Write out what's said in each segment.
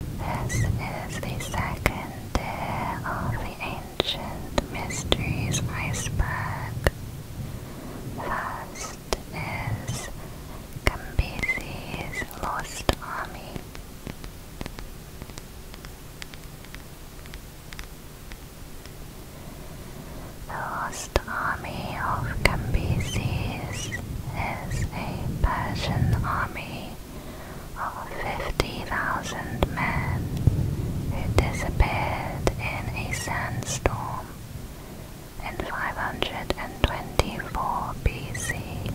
This is the second day of the Ancient Mysteries iceberg. First is Cambyses' Lost Army. The Lost Army of Cambyses is a Persian army of 50,000 men who disappeared in a sandstorm in 524 BC.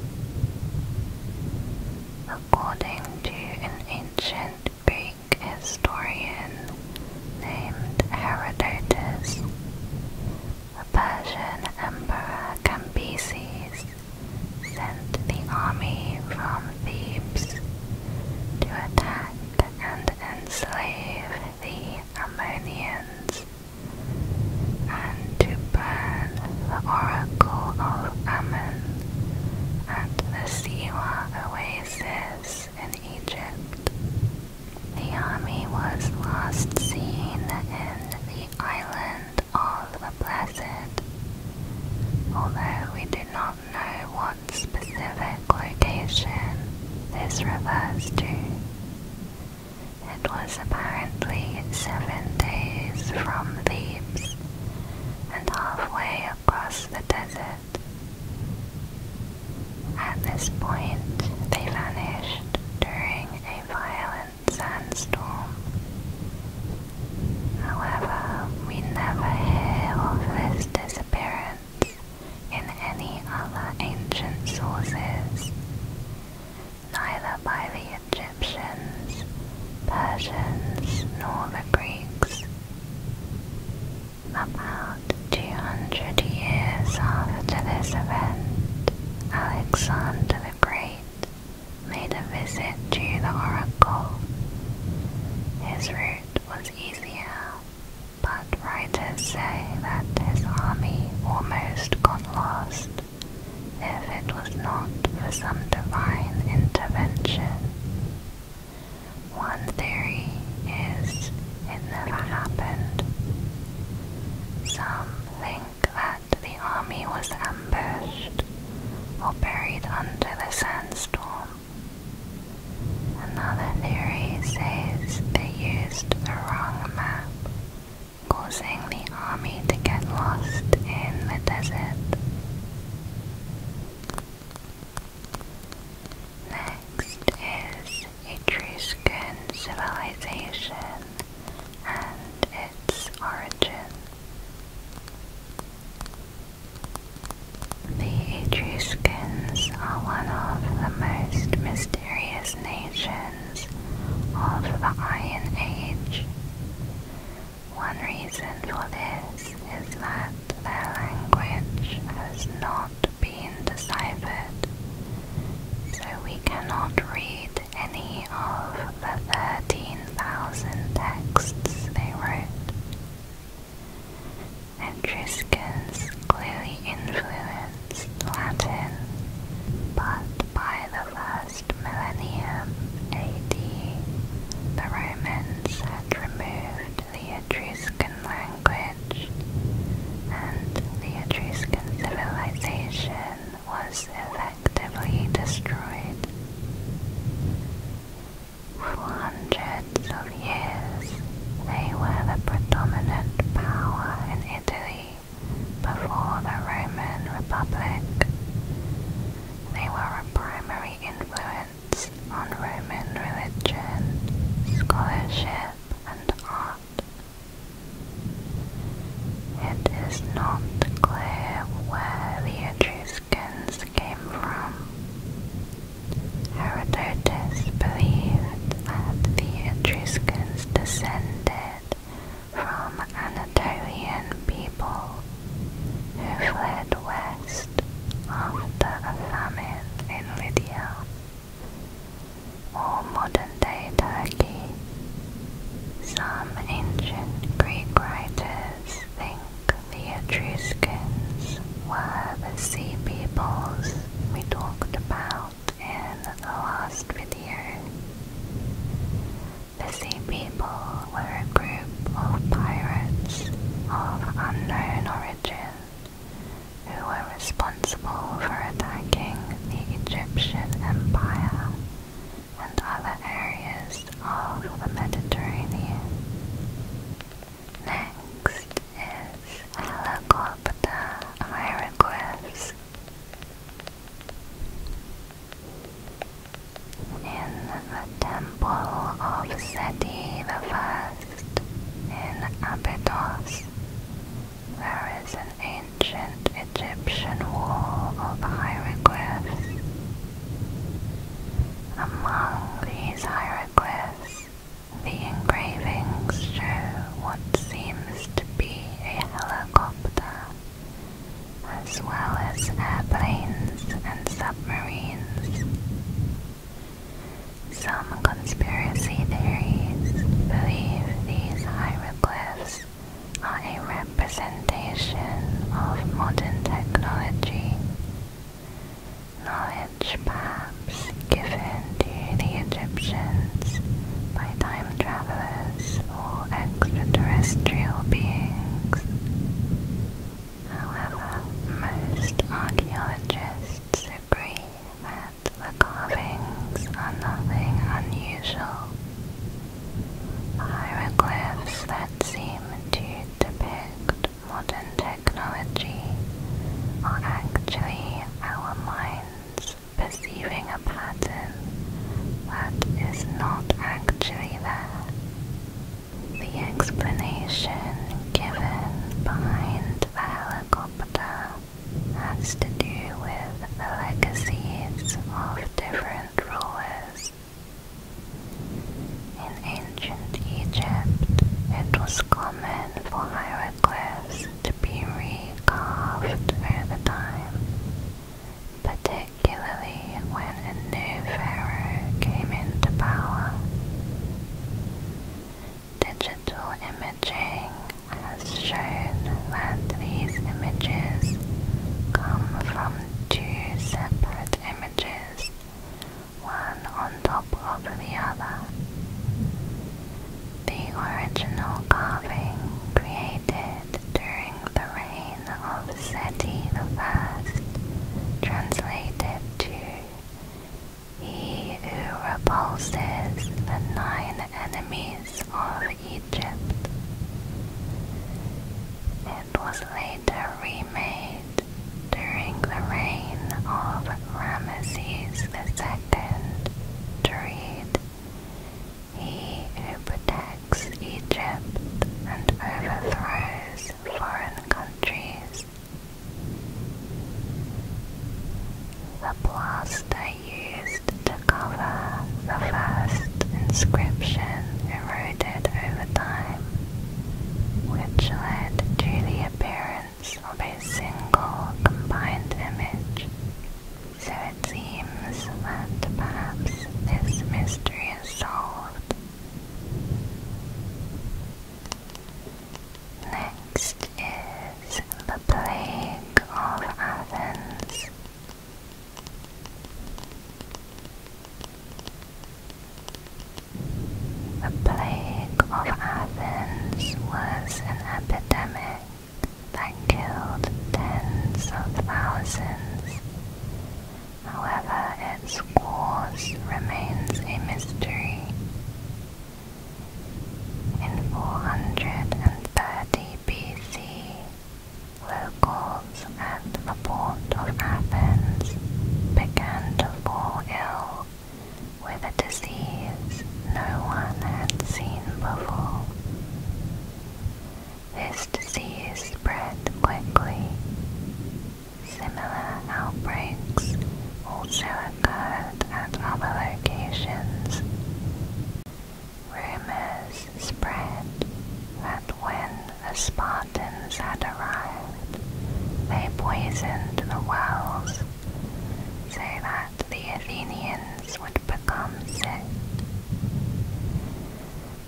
According to an ancient Greek historian named Herodotus, the Persian Emperor Cambyses sent the army from Thebes to attack and enslave the Ammonians and to burn the Oracle of Ammon at the Siwa oasis in Egypt. The army was last seen in the island all the blessed, although we do not know what specific location this refers to. It was apparently seven days from Thebes and halfway across the desert. At this point, they vanished during a violent sandstorm. However, we never hear of his disappearance in any other ancient sources, neither by the Egyptians, Persians, nor the Greeks. About 200 years after this event, Alexander the Great made a visit to the oracle. His route was easier, but writers say that his army almost got lost if it was not for some divine intervention. One theory is it never happened. Something that the army was ambushed or buried under the sandstorm. Another theory says they used the wrong map, causing the army to get lost in the desert. Next is Etruscan civilization and its origin. The Etruscans are one of the most mysterious nations of the Iron Age. One reason for this is that their language has not been deciphered, so we cannot read any of the 13,000 texts they wrote. Etruscans clearly influenced Latin, but by the first millennium AD, the Romans had removed the Etruscan language, and the Etruscan civilization was effectively destroyed. For hundreds of years, they were the predominant power in Italy before the Roman Republic. They were a primary influence on Roman religion, scholarship, and art. It is not clear where the Etruscans came from. Herodotus believed that the Etruscans descended from Anatolian people who fled west after a famine in Lydia. All modern modern-day Some ancient Greek writers think the Etruscans were the sea peoples we talked about in the last video. The sea people were a group of pirates of unknown origin who were responsible for attacking the Egyptian Empire and other areas of the Mediterranean. Next is Helicopter Myricus. In the temple of Seti I in Abydos, there is an ancient Egyptian wall of hieroglyphs. Among these hieroglyphs, the engravings show what seems to be a helicopter, as well as airplanes and submarines. Some conspiracy theories believe these hieroglyphs are a representation of modern technology. Knowledge perhaps given to the Egyptians by time travelers or extraterrestrial beings. However, most archaeologists agree that the carvings are nothing unusual hieroglyphs that seem to depict modern technology are actually our minds perceiving a pattern that is not actually there. The explanation given behind the helicopter has to do with the legacies of different in ancient Egypt, it was common for hieroglyphs to be recarved over time, particularly when a new pharaoh came into power. Digital imaging has shown that these images come from two separate images, one on top of the other. The original carving created during the reign of Seti I, translated to He who repulses the nine enemies of Egypt. It was later remade during the reign of Ramesses II to read, He who protects Egypt and overthrows foreign countries. The blast they use to cover the first inscription eroded over time, which led to the appearance of a single combined image. So it seems that perhaps this mystery is solved. Next is the Plague of Athens, the plague of Athens was an epidemic that killed tens of thousands. However, its cause remains a mystery. In 430 BC, locals at the port of Athens began to fall ill with a disease no one had seen before. This disease spread quickly. Similar outbreaks also occurred at other locations. Rumors spread that when the Spartans had arrived, they poisoned the wells so that the Athenians would become sick.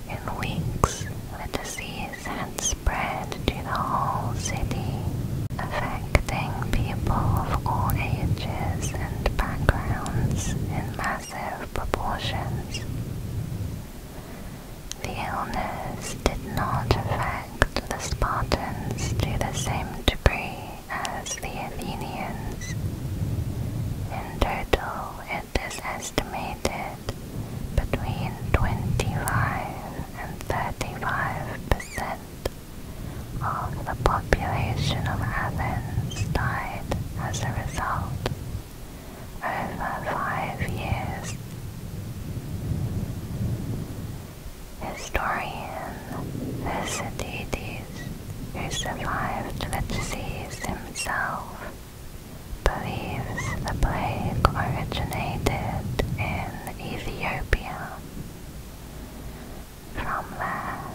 In weeks, the disease had spread to the whole city, affecting people of all ages and backgrounds in mass impressive proportions. The illness did not affect the Spartans to the same degree as the Athenians. In total, it is estimated between 25 and 35 percent of the population population of Athens died as a result over five years. Historian Thucydides, who survived Vataces himself, believes the plague originated in Ethiopia. From there,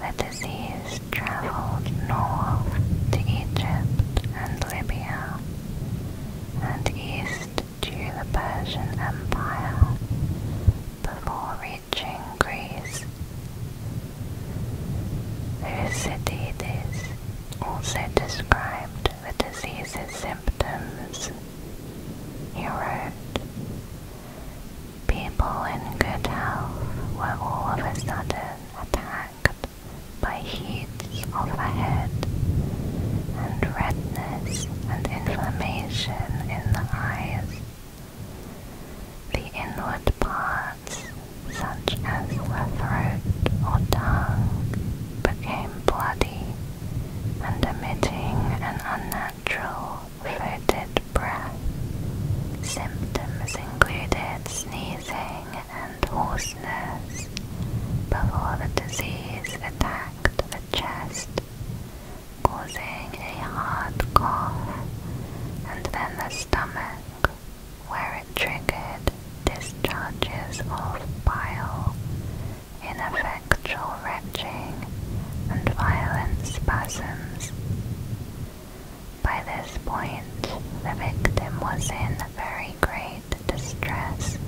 the disease travelled north to Egypt and Libya, and east to the Persian Empire before reaching Greece. Thucydides also described the disease's symptoms. He wrote, People in good health were all of a sudden attacked by heats of the head and redness and inflammation in the eyes. The inward parts, such as the throat or tongue, became bloody and emitting an unnatural fetid breath. Symptoms included sneezing and hoarseness before the disease attacked the chest, causing a hard cough, and then the stomach, where it triggered discharges of bile, ineffectual retching, and violent spasms. By this point, the victim was in very great distress.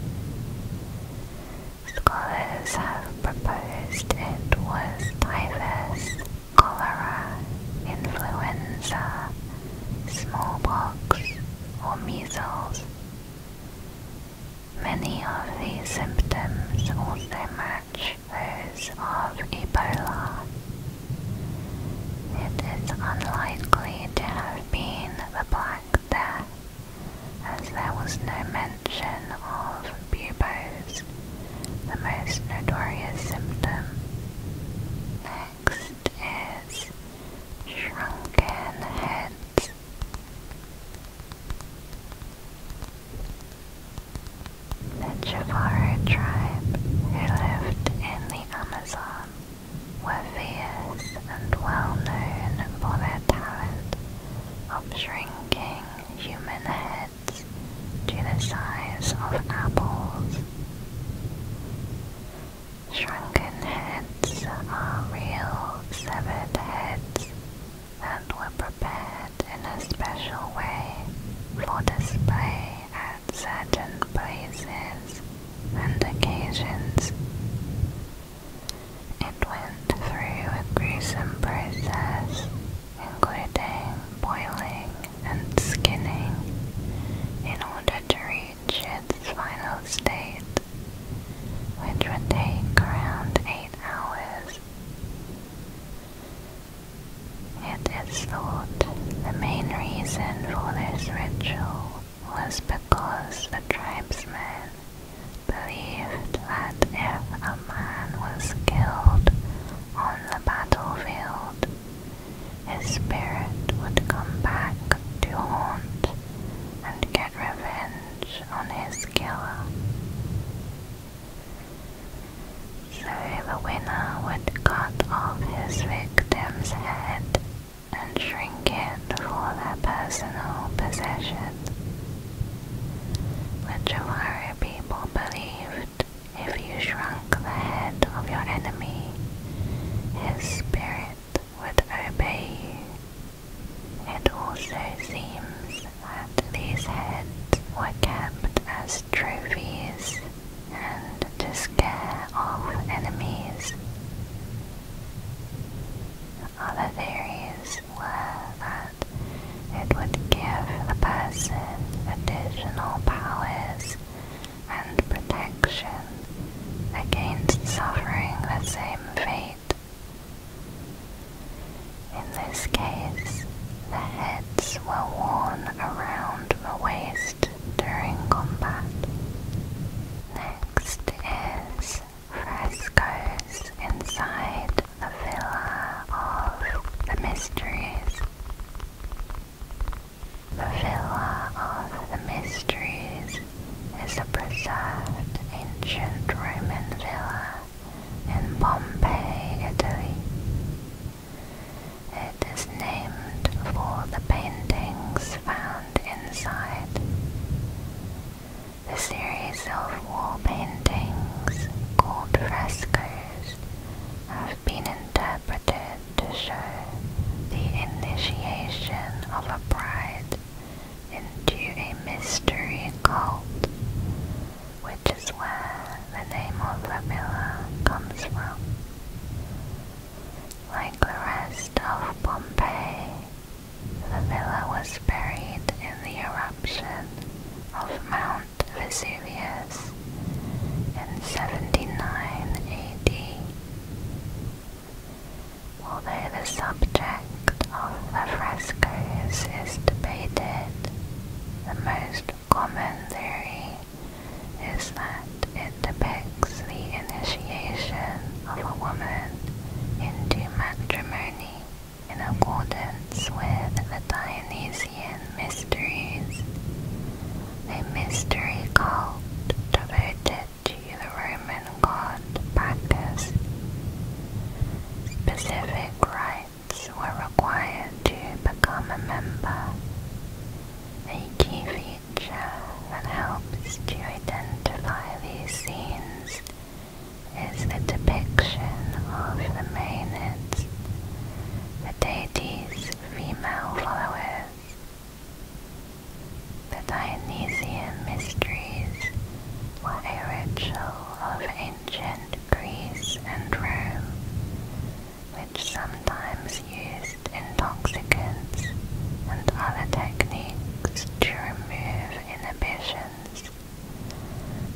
Scholars have proposed it was typhus, cholera, influenza, smallpox, or measles. Many of these symptoms also match of Ebola. It is unlikely to have been the Black Death, as there was no mention of buboes, the most notorious symptom. Next is shrunken heads. The Javara tribe who lived in the Amazon were fierce and well known for their talent of shrinking human heads to the size of apples. Shrunken heads are real severed heads that were prepared in a special way for display at certain places and occasions. It went through a gruesome process, including boiling and skinning, in order to reach its final state, which would take around 8 hours. It is thought the main reason for this ritual was because the tribesmen believed that if a man was killed on the battlefield, his spirit would come back to haunt and get revenge on his killer. So the winner would cut off his victim's head and shrink it for their personal possession, The Awari people believed if you shrunk the head of your enemy, his spirit would obey you. It also seems that these heads were kept as trophies and to scare off enemies. Other theories were that it would give the person additional powers and protection against suffering the same fate. In this case, the heads were worn around the waist during combat. Next is frescoes inside the Villa of the Mysteries. The Villa of the Mysteries is a preserved ancient Roman villa in Pompeii, Italy. It is named for the paintings found inside. The series of wall paintings, called frescoes, have been interpreted to show the initiation of a bride into a mystery cult which is where the name of the villa comes from. Like the rest of Pompeii, the villa was buried in the eruption of Mount Vesuvius in 79 AD. Although the subject of the frescoes is debated, the most commentary is that it depicts the initiation of a woman into matrimony in accordance with the Dionysian Mysteries, a mystery cult devoted to the Roman god Bacchus. Specific rites which were required to become a member, a key feature that helps to identify these scenes is the depiction of the Maenads, the deities' female followers. The Dionysian Mysteries were a ritual of ancient Greece and Rome, sometimes used intoxicants and other techniques to remove inhibitions,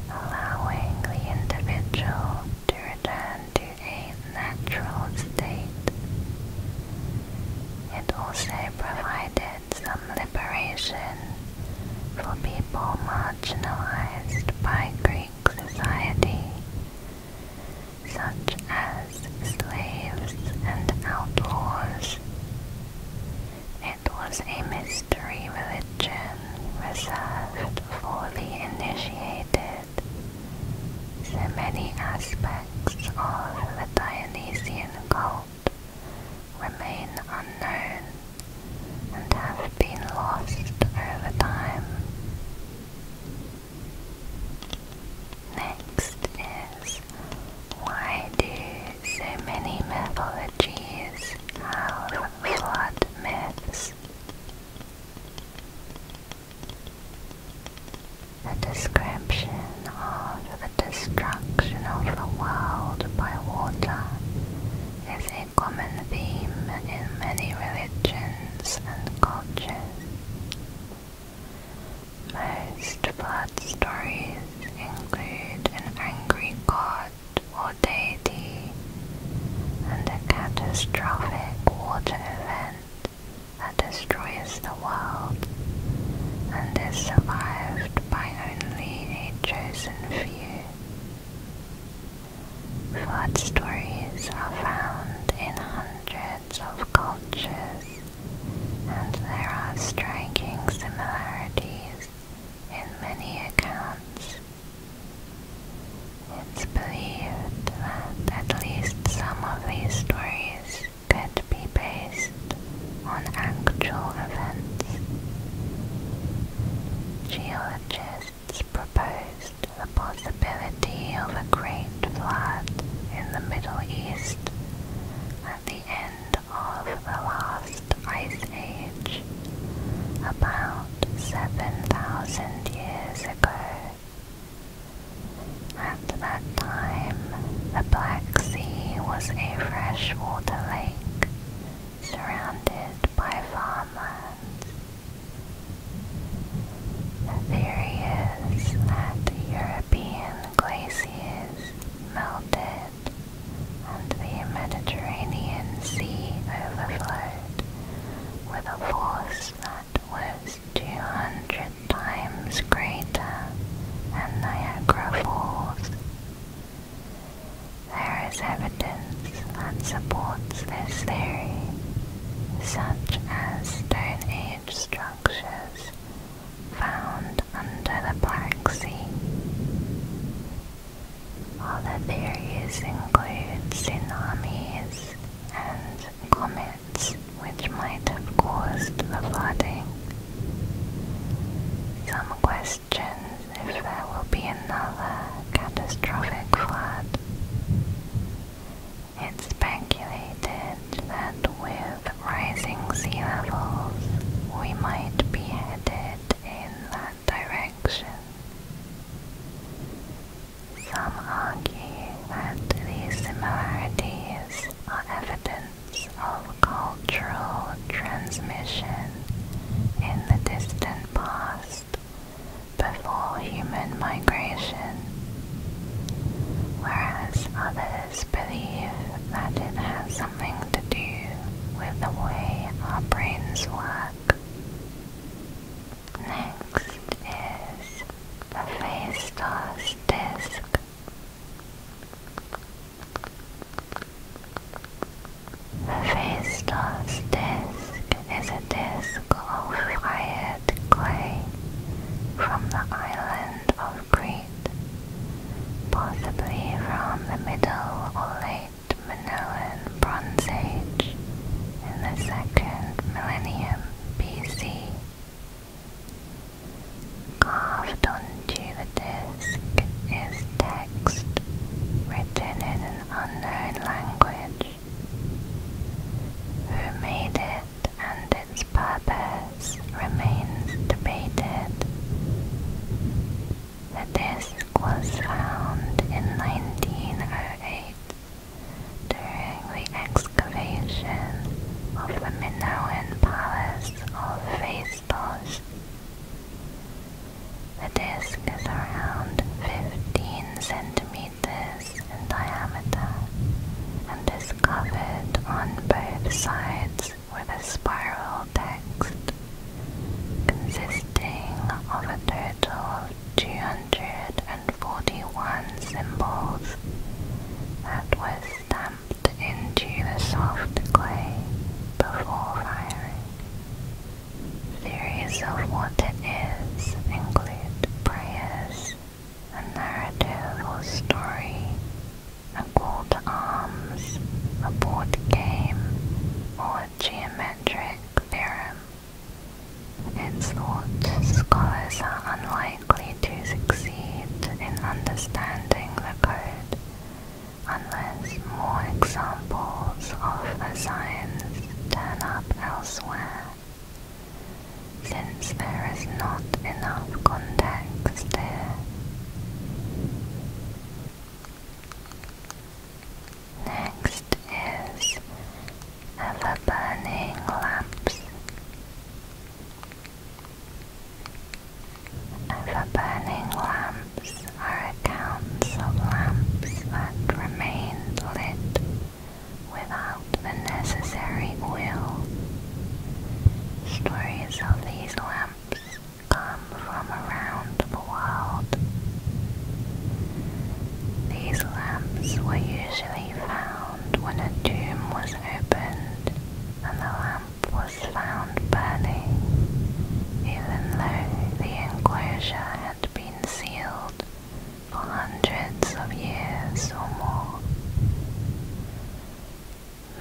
allowing the individual to return to a natural state. It also provided some liberation for people marginalized by groups society, such as slaves and outlaws. It was a mystery religion reserved for the initiated, so many aspects of the Dionysian cult remain unknown and have been lost over time. Next is why do so many mythologies have flood myths? The description of the destruction of the world by water is a common theme in many religions and cultures. Most flood stories include an angry god or deity and a catastrophic water event that destroys the world and is survived by only a chosen few. Flood stories are found in hundreds of cultures, and there are striking similarities in many accounts. It's believed that at least some of these stories could be based on actual events. Geologists it's proposed the possibility of a great flood in the Middle East at the end of the last ice age, about 7,000 years ago. At that time, the Black Sea was a freshwater lake surrounded by farmlands. There he is that European glaciers melted and the Mediterranean Sea overflowed with a force that was 200 times greater than Niagara Falls. There is evidence that supports this theory, such as Stone Age structures found under the Black Sea. Other theories include tsunamis and comets which might have caused the flooding. Some questions if there will be another catastrophic flood. It's speculated that with rising sea levels, we might be headed in that direction. Some argue that these similarities are evidence of cultural transmission in the distant past before human migration, whereas others believe that it has something to do with the way our brains work. Next is the Phaistos disk. The Phaistos disk is a disk of fired clay from the island of Crete, possibly from the middle or late Minoan Bronze Age in the second millennium BC. Carved onto the disk is text written in an unknown language who made it and its purpose remains debated. The disc was found in 1908 during the excavation of the Minoan Palace of Phaistos. The disc is around 15 centimeters in diameter and is covered on both sides with a spiral text consisting of a total of 241 symbols that were stamped into the soft clay before firing. Theories of what it is include prayers, a narrative or story, a code of arms, a board game, or a geometric theorem. It's thought scholars are unlikely to succeed in understanding the code unless more examples of a science turn up elsewhere, since there is not enough context there. Next is ever-burning lamps. Ever-burning lamps are accounts of lamps that remained lit without the necessary will. Stories of these lamps come from around the world. These lamps were usually found when a tomb was opened and the lamp was found burning, even though the enclosure had sealed for hundreds of years or more.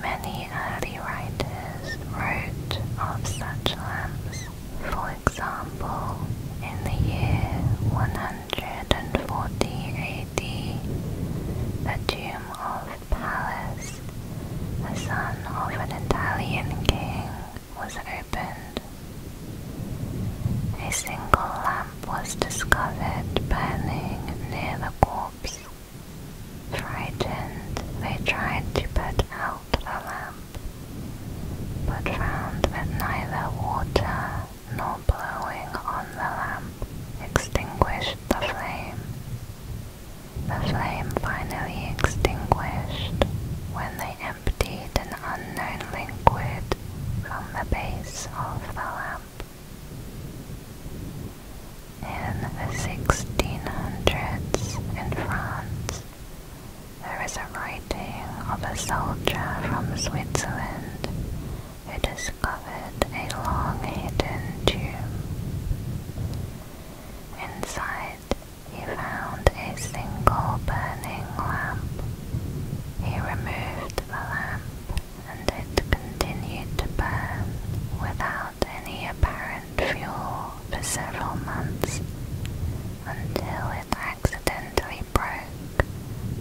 Many early writers wrote of such lamps, for example, in the year 140 AD, the tomb of Pallas, the son of an Italian king, was opened. A single lamp was discovered burning near the corpse. Frightened, they tried to put out the lamp, but found that neither water nor blowing on the lamp extinguished the flame. The flame finally extinguished when they emptied an unknown liquid from the base of the lamp. In the 1600s in France, there is a writing of a soldier from Switzerland who discovered a long hidden tomb. Inside he found a single burning lamp. He removed the lamp and it continued to burn without any apparent fuel for several months until it accidentally broke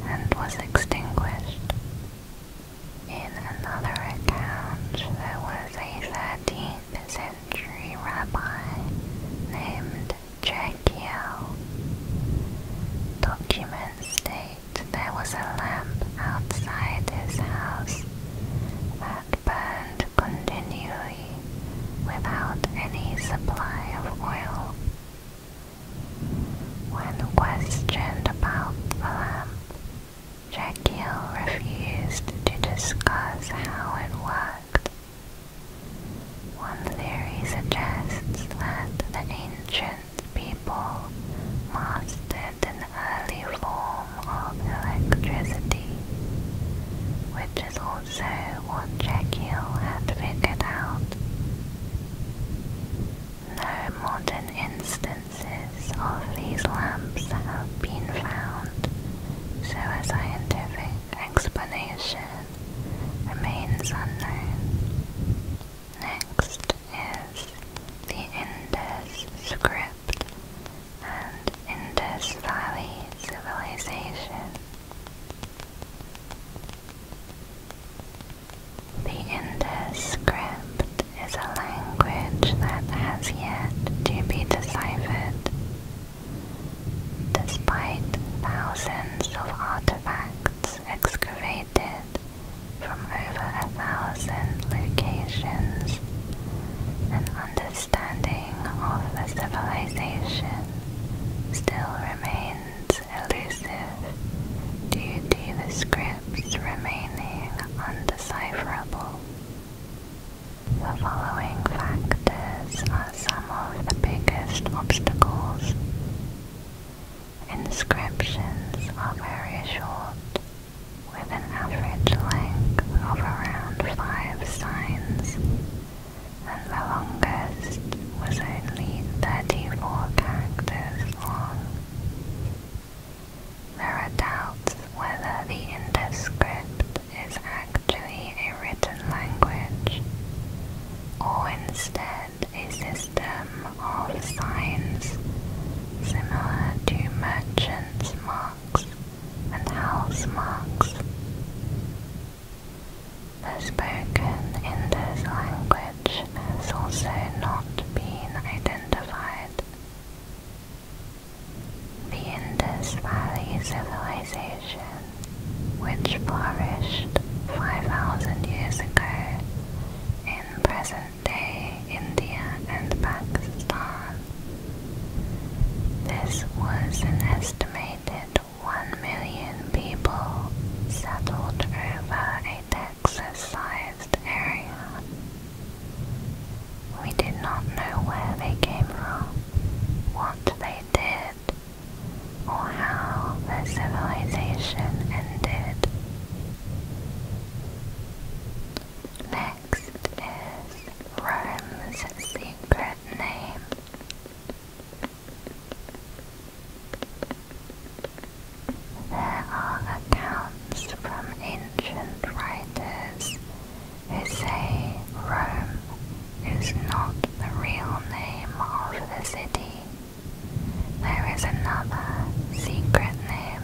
and was extinguished. In another account, there was a 13th century rabbi named Jackiel. Documents state there was a lamp outside his house that burned continually without any supply of oil. When questioned about the lamp, Jekyll refused to discuss how it worked. One theory suggests that the ancient people mastered an early form of electricity, which is also what Jekyll had figured out. No modern instances of these lamps have been found, so a scientific explanation remains unknown. Next is the Indus script and Indus Valley civilization. The Indus script is a language that has yet to be deciphered Despite thousands of artifacts excavated from over a thousand locations, an understanding of the civilization still remains elusive due to the scripts remaining undecipherable. The following factors are some of the biggest obstacles. Inscriptions are very short, with an average length of around five signs, and the longest was only 34 characters long. There are doubts whether the Indus script is actually a written language, or instead a system of signs similar to merchants' marks and house marks. The spoken Indus language has also not been identified. The Indus Valley Civilization which flourished 5,000 years ago in present-day India and Pakistan. This was an estimated 1 million people settled over a Texas-sized area. We did not know where they came from, what they did, or how the civilization ended. Next is Rome's secret name. There are accounts from ancient writers who say Rome is not the real name of the city. There is another secret name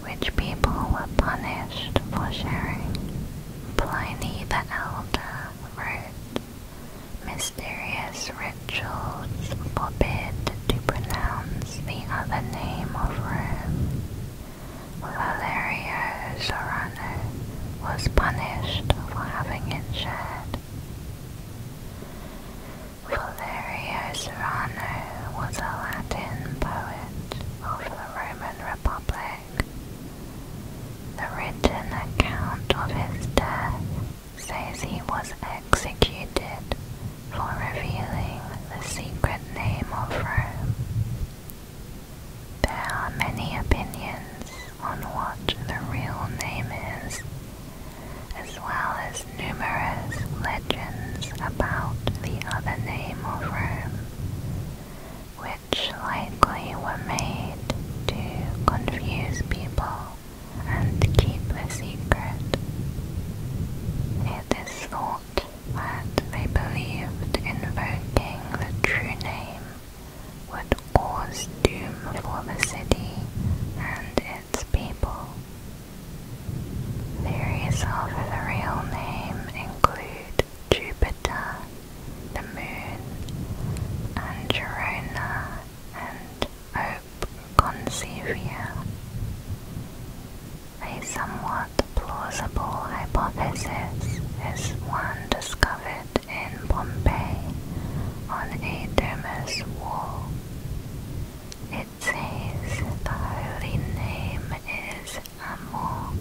which people were punished for sharing. Pliny the Elder wrote, Mysterious rituals forbid to pronounce the other name of Rome. Valerio was punished for having it shared. Valerio Serrano was a Latin poet of the Roman Republic. The written account of his death says he was executed for revealing the secret name of Rome. There are many opinions on what the real name is, as well as numerous legends about the other name of Rome, which likely were made to confuse people and keep a secret. It is thought that they believed invoking the true name would cause doom for the city and its people. Various of the real name include Jupiter, the moon, and Gerona and Hope Concevia. A somewhat plausible hypothesis is one discovered in Bombay on a dermis wall. It says the holy name is Amor.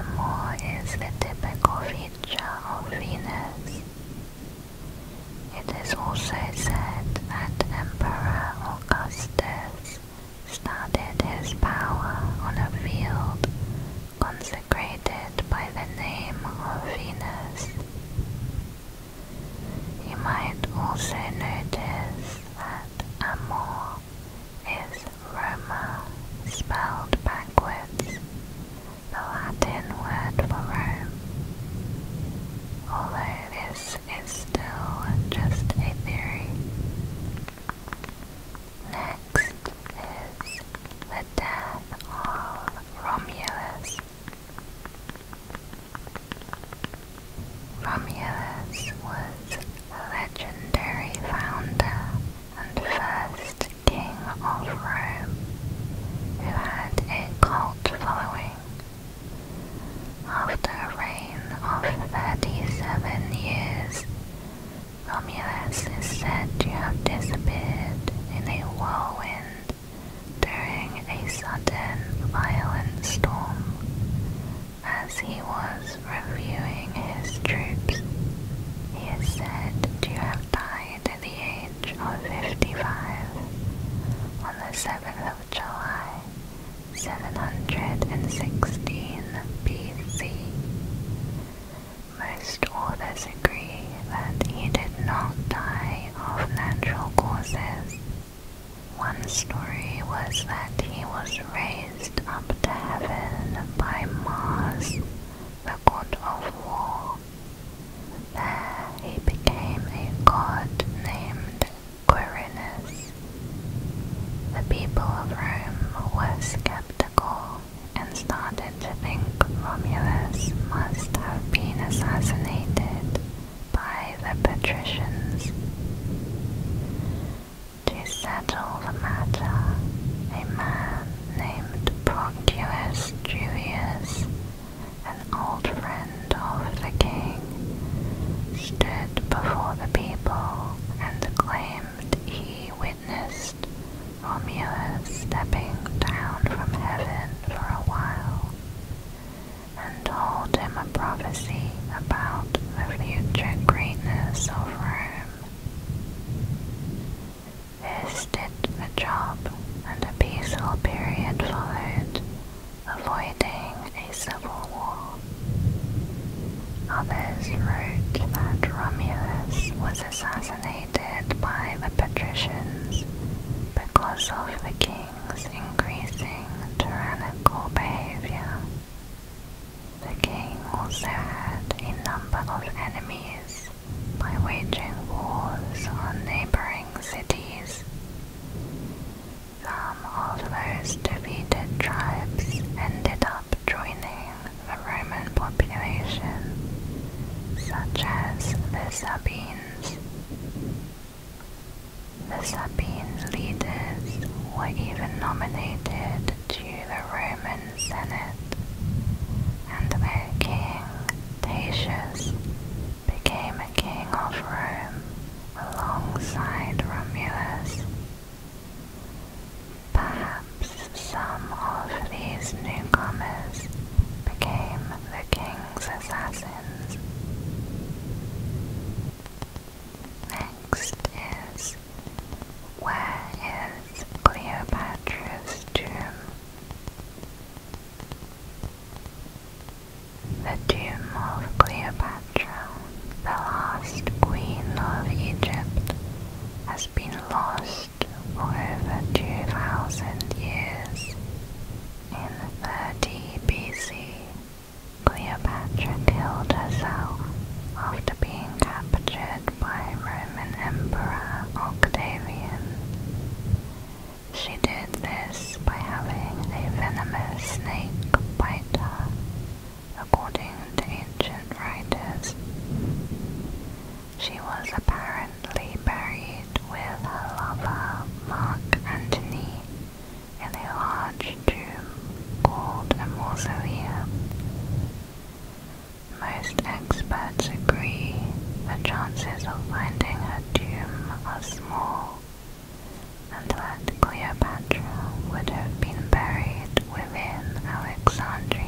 Amor is the typical feature of Venus. It is also said that Emperor Augustus started his power on a field consecrated by the name of Venus. You might also notice that Amor is Roma spelled backwards, the Latin word for Rome. Although this is still just a theory, Next is the death of Romulus. Romulus was a legendary founder and first king of Rome who had a cult following. After a reign of 37 years, Romulus is said to have disappeared in a whirlwind during a sudden violent storm as he was reviewing his troops. He is said to have died at the age of 55 on the 7th of July 716 BC. Most authors agree that he did not die of natural causes. One story was that he was raised up to heaven by Mars, the god of war. There he became a god named Quirinus. The people of Rome were skeptical and started to think Romulus must have been assassinated by the patricians. To settle the matter, a man named Proclus Julius, an old friend of the king, stood before the people and claimed he witnessed Romulus stepping down from heaven for a while and told him a prophecy about the future greatness of Rome. This did the job, and a peaceful period followed, avoiding a civil war. Others wrote that Romulus was assassinated by the patricians because of the king's increasing tyrannical behavior. The king also had a number of enemies by waging wars on neighboring cities. Some of those defeated tribes ended up joining the Roman population, such as the Sabines. The Sabine leaders were even nominated to the Roman Senate, and their king, Tatius, became a king of Rome alongside Romulus Perhaps some of these newcomers became the king's assassins. Next is Where is Cleopatra's tomb? The tomb of Cleopatra, the last queen of Egypt, has been lost for over 2,000 years. In 30 BC, Cleopatra killed herself after being captured by Roman Emperor Octavian. She did this by having a venomous snake bite her, according to ancient writers. She was apparently buried with her lover Mark Antony in a large tomb called a mausoleum. Most experts agree the chances of finding her tomb are small and that Cleopatra would have been buried within Alexandria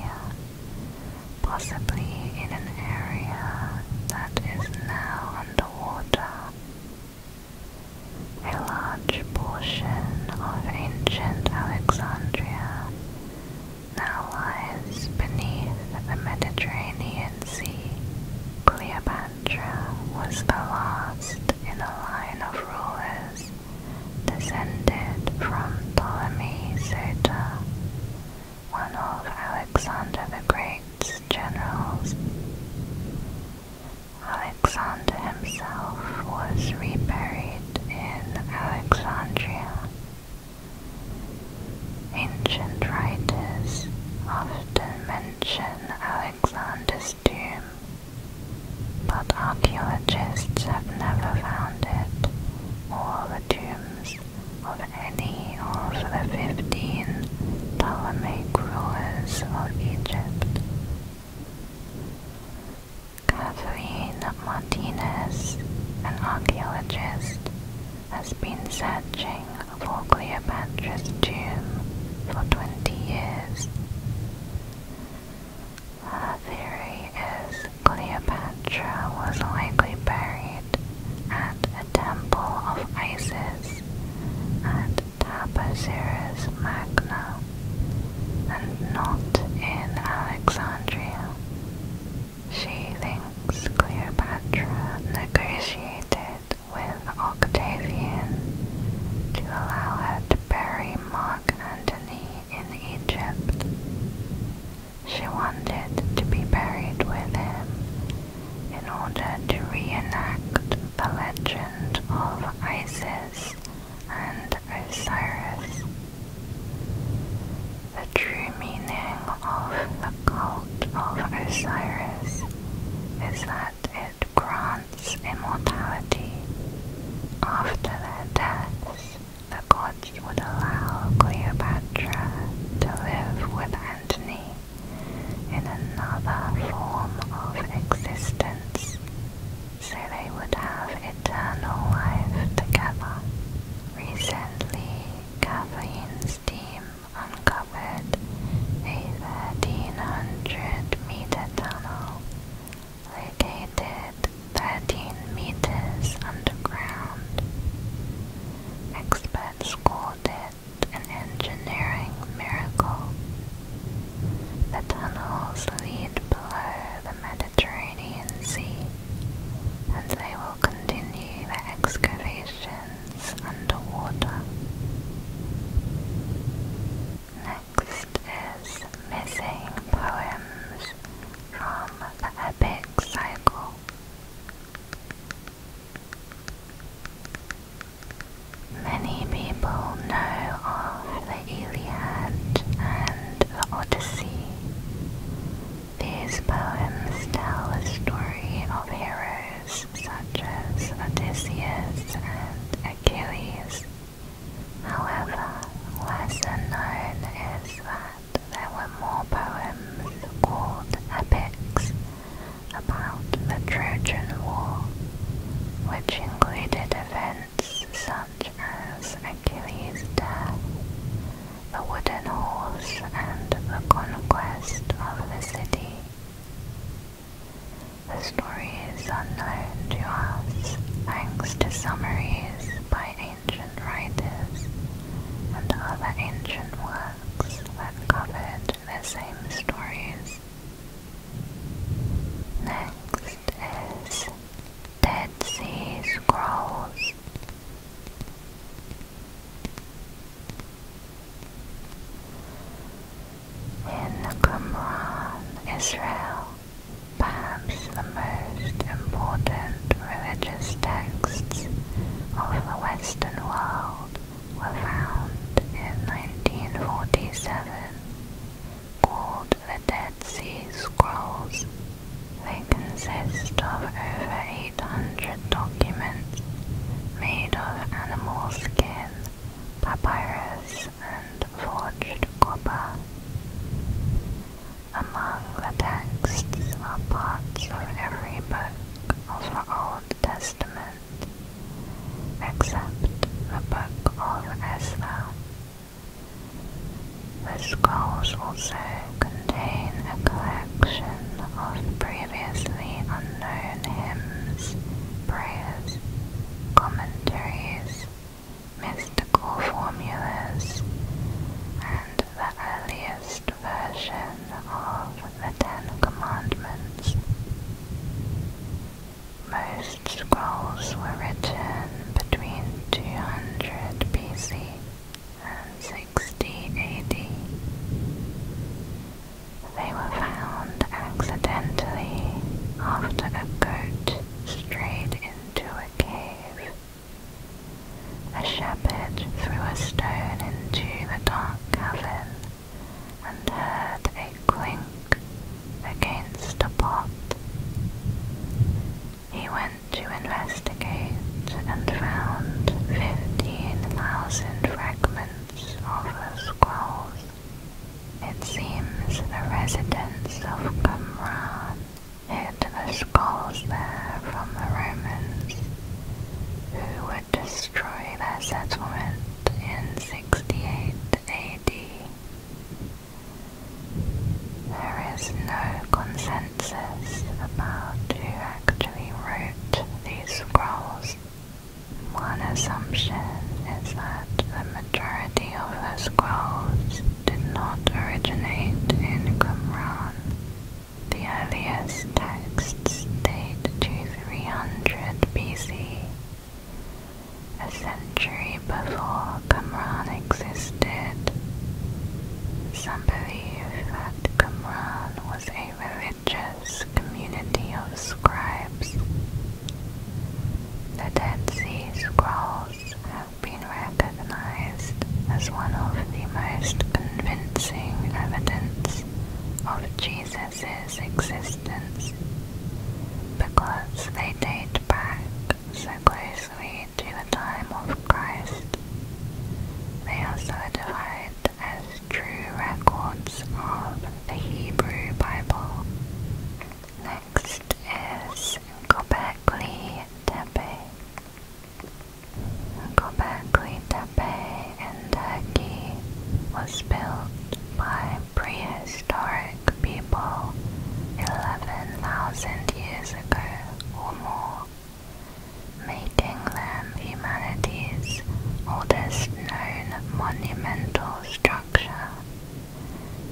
possibly in an area that is now underwater. A large portion of ancient Alexandria now lies beneath the Mediterranean Sea. Cleopatra was the last in the line of rulers descended from Ptolemy Soter, one of Alexander the Great's generals. Alexander himself was reburied in Alexandria. Ancient writers often mention Alexander's tomb but archaeologists have never found it or the tombs of any of the 15 Ptolemaic rulers of Egypt. Catherine Martinez, an archaeologist, has been searching for Cleopatra's tomb for 20 years. Her theory is Cleopatra was likely buried at a temple of Isis at Tapaseres Magna and not in Alexandria. She thinks Cleopatra negotiated with Octavian to allow her to bury Mark Antony in Egypt. She wanted to be buried with him in order to reenact the legend of Isis and Osiris. The true meaning of the cult of Osiris is that it grants immortality after their deaths the gods would allow Cleopatra to live with Antony in another form of existence, so they would have eternal life together. Recently, Kathleen's team uncovered a 1300 meter tunnel located 13 meters underground. Experts called it an engineering miracle. The tunnels lead below the Mediterranean Sea, and they will continue their excavations underwater next is missing poems from the epic cycle. Many people know of the Iliad and the Odyssey. These poems tell the story of heroes such as Odysseus and Achilles. However, lesser unknown is that there were more poems called epics about the Trojan War, which included events such as Achilles' death, the wooden horse, and the conquest of the city. The story is unknown to us thanks to summaries by ancient writers and other ancient works that covered the same stories. Next is Dead Sea Scrolls. In Qumran, Israel, perhaps the most important religious texts of the Western world were found in 1947, called the Dead Sea Scrolls. They consist of over 800 documents made of animal skin, papyrus, and forged copper. Among the texts are parts of every book of the Old Testament, except the Book of Esther. The scrolls also contain a collection of previously unknown hymns, prayers, commentaries, mystical formulas, and the earliest version of the Ten Commandments. Most scrolls were written between 200 BC and 60 AD. They were found accidentally after a goat strayed into it a shepherd threw a stone into the dark cavern and heard a clink against a pot. He went to investigate and found fifteen thousand fragments of the scrolls. It seems the residents of Kamran hid the scrolls there from the Romans, who would destroy their settlement in 68 AD. There is no consensus about who actually wrote these scrolls. One assumption is that the majority of the scrolls did not originate in Qumran. The earliest texts date to 300 BC, a century before Qumran existed. Some believe that Qumran was a religious community of scribes. The Dead Sea Scrolls been recognized as one of the most convincing evidence of Jesus' existence because they date back so closely to the time of Christ. They are certified as true records of the Hebrew Bible. Next is Gobekli Tepe. in Turkey was built by prehistoric people 11,000 years ago or more, making them humanity's oldest known monumental structure.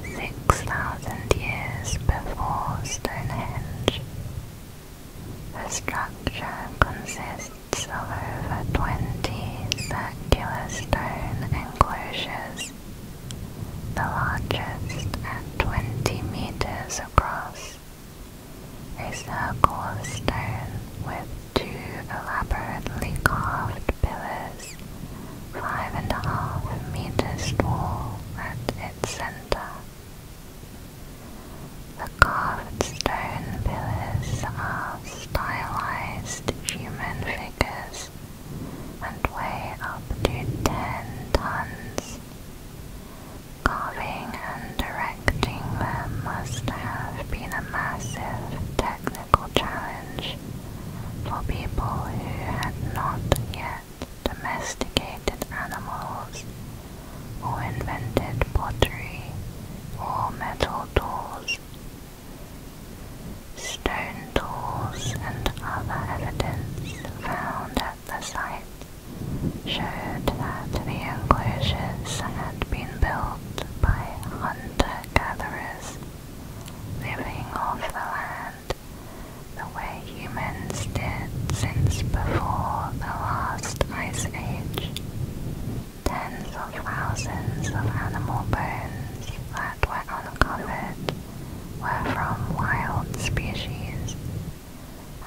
6,000 years before Stonehenge. The structure consists of over 20 circular stone enclosures, the largest at 20 meters across. A circle of stone with two elaborately carved pillars five and a half meters tall at its center. The carved stone pillars are stylized human figures and weigh up to 10 tons. Carving and directing them must have been a massive technical challenge for people who had not yet domesticated animals, or invented pottery or metal tools. Stone tools and other evidence found at the site showed that the enclosures had been built by hunter-gatherers living off the land the way humans did since before the last ice age. Tens of thousands of animal bones that were uncovered were from wild species,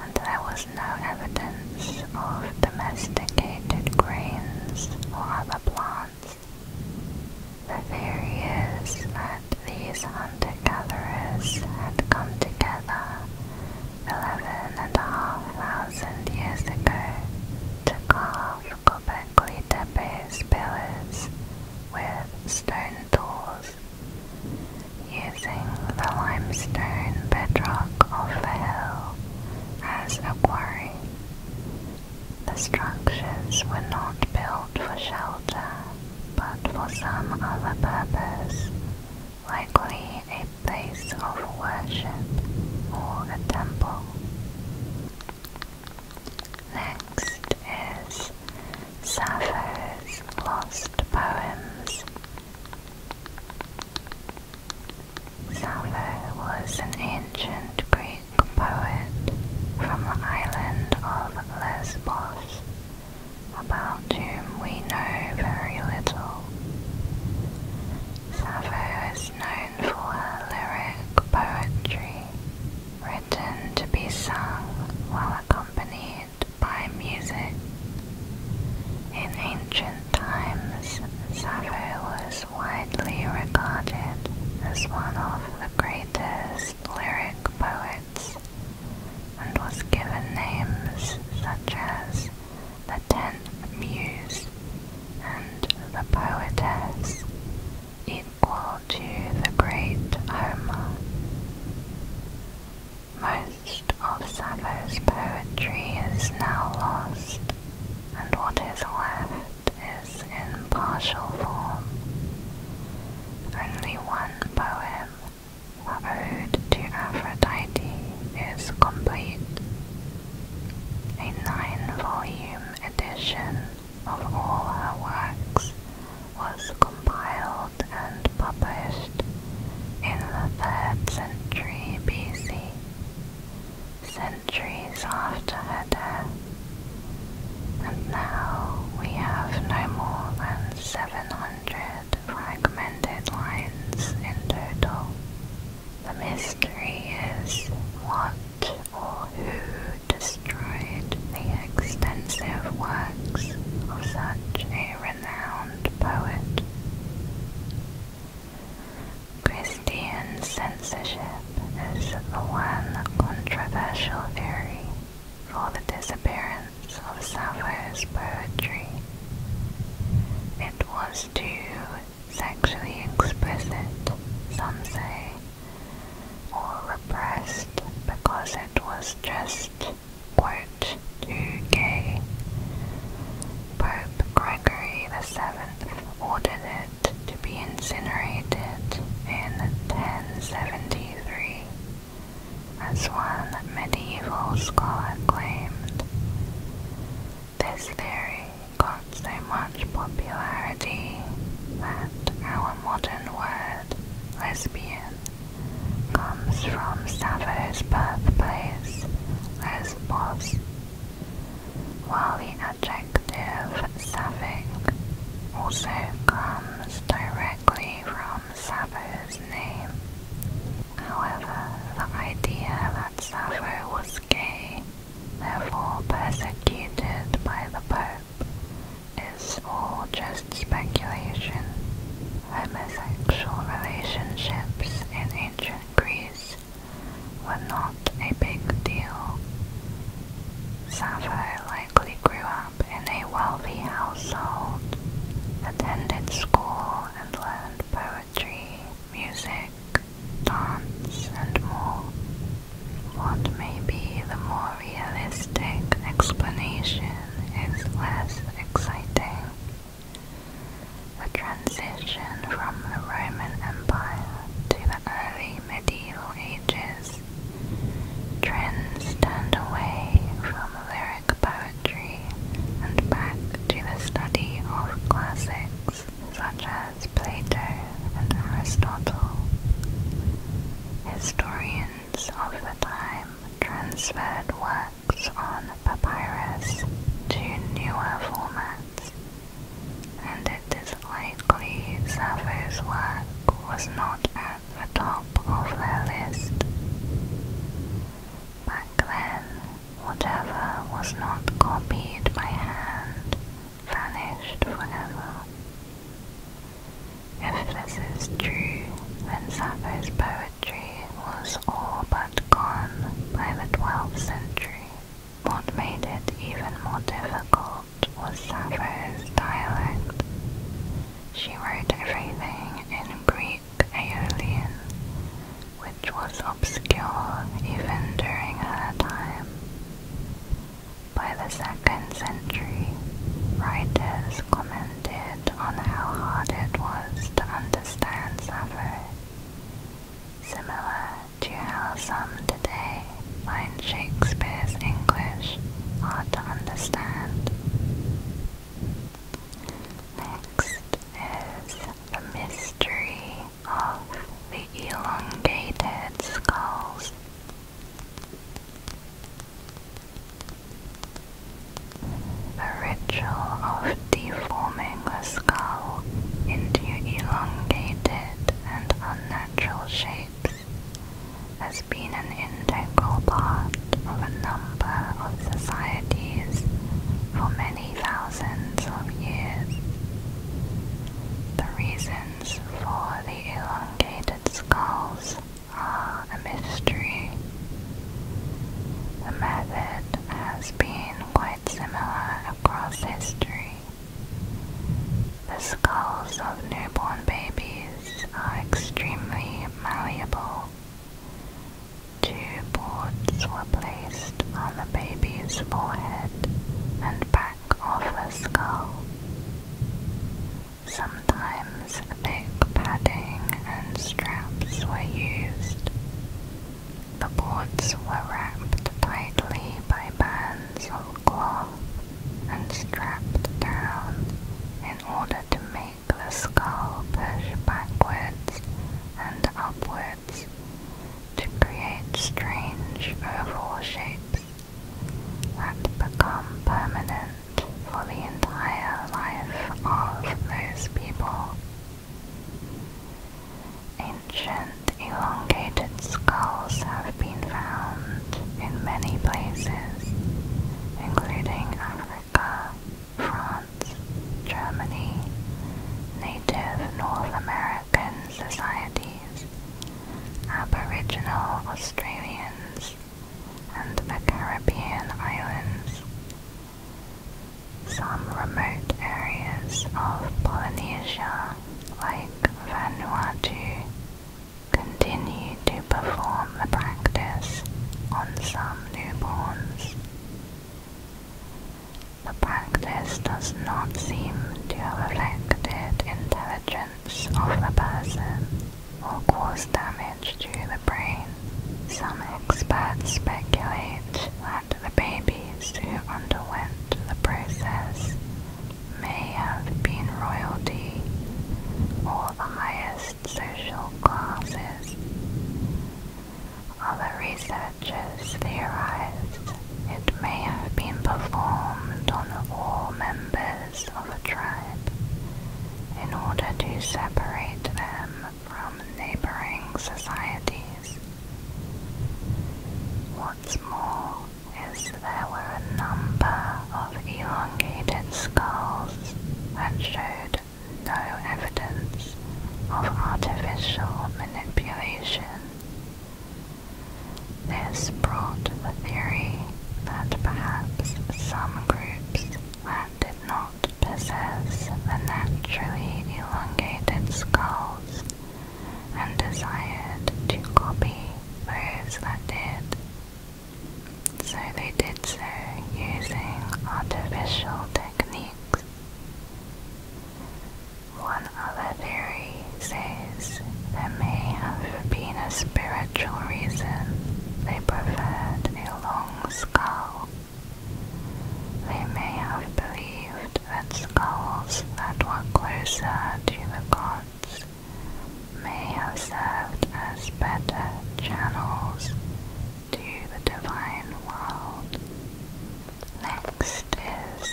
and there was no evidence of domesticated grains or other plants the theory is that these hunter-gatherers had come together 11 and a half thousand years ago to carve Gobekli Tepe's pillars with stone tools using the limestone bedrock of the hill as a quarry. The structures were not built for shelter but for some other purpose, likely a place of worship or a temple. Next is Sappho's Lost Poems. Sappho was an ancient Greek Greek poet from the island of Lesbos, about whom we know very little. Sappho is known for her lyric poetry, written to be sung while accompanied by music. In ancient times, Sappho was widely regarded as one of the greatest lyric poets and was given names such as the Tenth Muse and the Poetess, equal to the great Homer. Most of Sappho's poetry is now lost, and what is left is in partial form. Only one poem, the Ode to Aphrodite, is complete. A nine-volume edition of all her works was compiled and published in the 3rd century BC. Centuries after her death, now we have no more than 700 fragmented lines in total. The mystery is what or who destroyed the extensive works of such a renowned poet. Christian censorship is the one controversial theory for the disappearance of Sappho's poetry. It was too sexually explicit, some say, or repressed because it was just, quote, too gay. Pope Gregory the Seventh ordered it to be incinerated in 1070 1923, as one medieval scholar claimed. This theory got so much popularity that our modern word lesbian comes from Sappho's birthplace, Lesbos, while the adjective sapphic also comes directly from Sappho's name. However, the idea that Sappho was gay, therefore persecuted by the Pope, is all just speculation. Homosexual relationships in ancient Greece were not a big deal. Sappho likely grew up in a wealthy household, attended school and learned poetry, music, dance, and more. What may be the more realistic explanation is less exciting. The transition from the Roman Empire to the early medieval ages, trends turned away from lyric poetry and back to the study of classics such as Plato and Aristotle. Historians of the time transferred works on papyrus to newer formats, and it is likely Sappho's work was not at the top of the list. Back then, whatever was not copied by hand vanished forever. If this is true, then Sappho's poetry was all but gone by the 12th century. What made it even more difficult result was Sappho's dialect. She wrote everything in Greek Aeolian, which was obscure even during her time. By the second century, writers commented on how hard it was to understand Sappho, similar to how some today find Shakespeare's English hard to understand. Next is the mystery of the elongated skulls. The ritual of deforming the skull into elongated and unnatural shapes has been an integral part of a number of societies for many thousands of years. The reasons for the elongated skulls are a mystery. The method has been quite similar across history. The skulls of newborn babies are extremely malleable. Two boards were placed on the baby's forehead and back of the skull. Sometimes thick padding and straps were used. The boards were wrapped tightly by bands pencil cloth and strapped down in order to make the skull push backwards and upwards to create strange oval shapes that become permanent for the entire life of those people. Ancient elongated skulls have been found in many places, including Africa, France, Germany, Native North American societies, Aboriginal Australians, and the Caribbean islands. Some remote areas of Polynesia, like Vanuatu, continued to perform the practice on some newborns. The practice does not seem to have affected intelligence of the person or caused damage to the brain. Some experts speculate that the babies who underwent the process may have been royalty or the highest social classes. Other researchers theorized it may have been performed on all members of a tribe in order to separate them from neighboring societies. What's more, is there were a number of elongated skulls and showed no evidence of artificial manipulation. This brought the theory that perhaps some groups did not possess the naturally elongated skulls and desired to copy those that did so they did so using artificial techniques. One other theory says there may have been a spiritual reason they preferred a long skull. They may have believed that skulls that were closer to the gods may have served as better channels to the divine world. Next is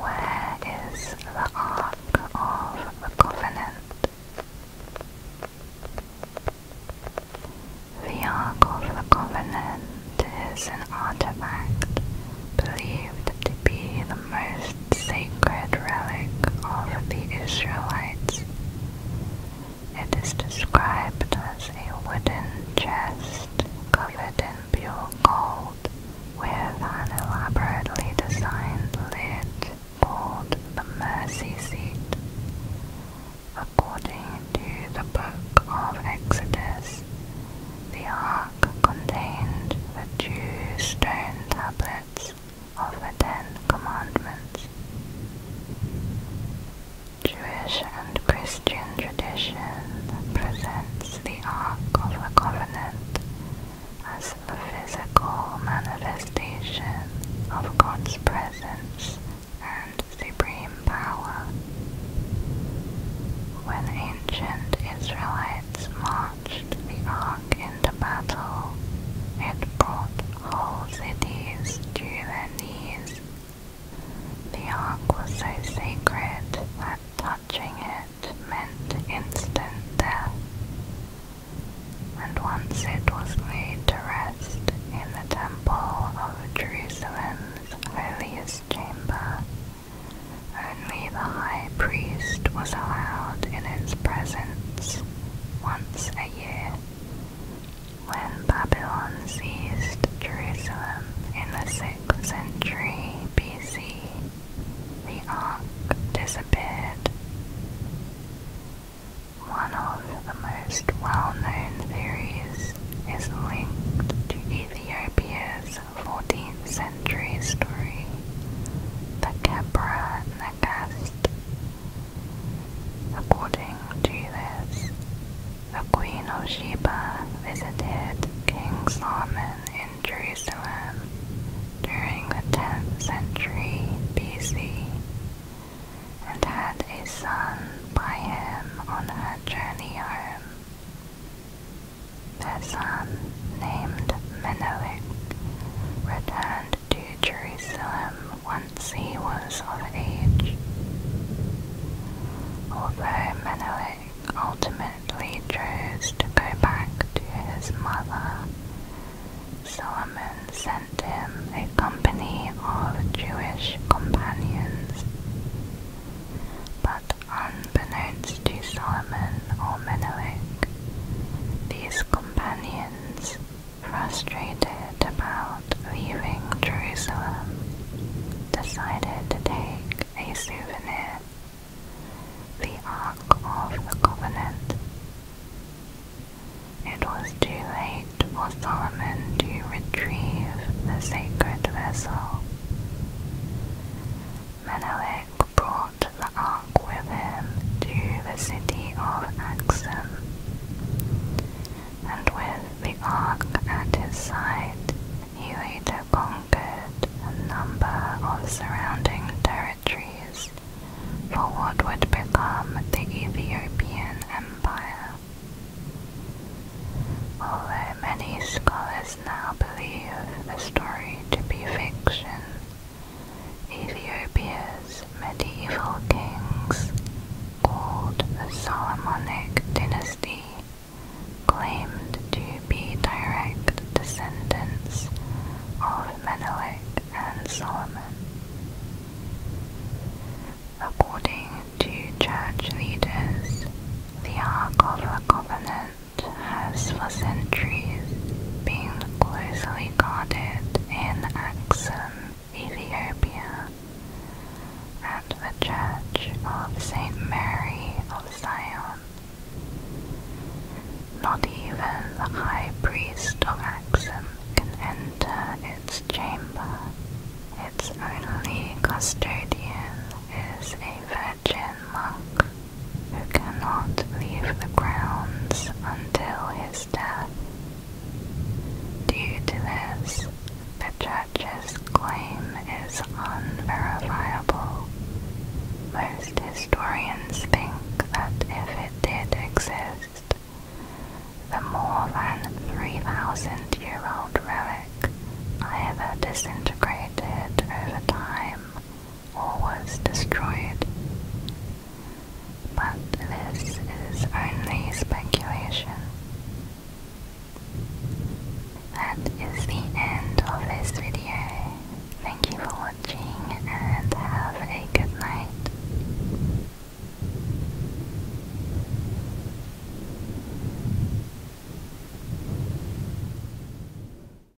Where is the Ark of the Covenant? The Ark of the Covenant is an artifact believed to be the the most sacred relic of the Israelites. It is described as a wooden chest covered in pure gold with an elaborately designed lid called the mercy seat. According to the book of Exodus, the ark contained the two stone tablets of the Ten Commandments. Jewish and Christian tradition presents the Ark of the Covenant as the physical manifestation of God's presence and supreme power. When ancient Israelites marched the Ark in the battle, it brought whole cities to their knees. The ark was so sacred that touching it meant instant death. And once it was laid to rest in the temple of Jerusalem's holiest chamber, only the high priest was allowed in its presence once a year. When Babylon seized Jerusalem in the 6th century BC, the Ark disappeared. One of the most well known theories is linked to Ethiopia's 14th century story, the Kebra Nagast. According to this, the Queen of Sheba visited King Solomon in Jerusalem during the 10th century BC and had a son by him on her journey home. Their son, named Menelik, returned to Jerusalem once he was of age. Although Menelik ultimately chose to go back to his mother, Solomon sent him a company of Jewish companions. But Unbeknownst to Solomon or Menelik, these companions, frustrated about leaving Jerusalem, decided to take a souvenir, the Ark of the Covenant. It was too late for Solomon to retrieve the sacred vessel. Menelik brought the ark with him to the city of Axum. And with the ark at his side, he later conquered a number of surrounding territories for what would become the Ethiopian Empire. Although many scholars now believe the story to be fiction, Ethiopia's medieval kings, called the Solomonic dynasty, claimed to be direct descendants of Menelik and Solomon. According to church leaders, the Ark of the Covenant has for centuries been closely guarded in Axum, Ethiopia, and the Church of St. Mary of Zion. Not even the high priest of Axum can enter its chamber. Its only custodian is a virgin monk who cannot leave the grounds until his death. Due to this, the judge's claim is unverifiable. Most historians think that if it did exist, the more than 3,000 year old relic either disintegrated over time or was destroyed. But this is only speculation. That is the end of this video. Thank you for watching and have a good night.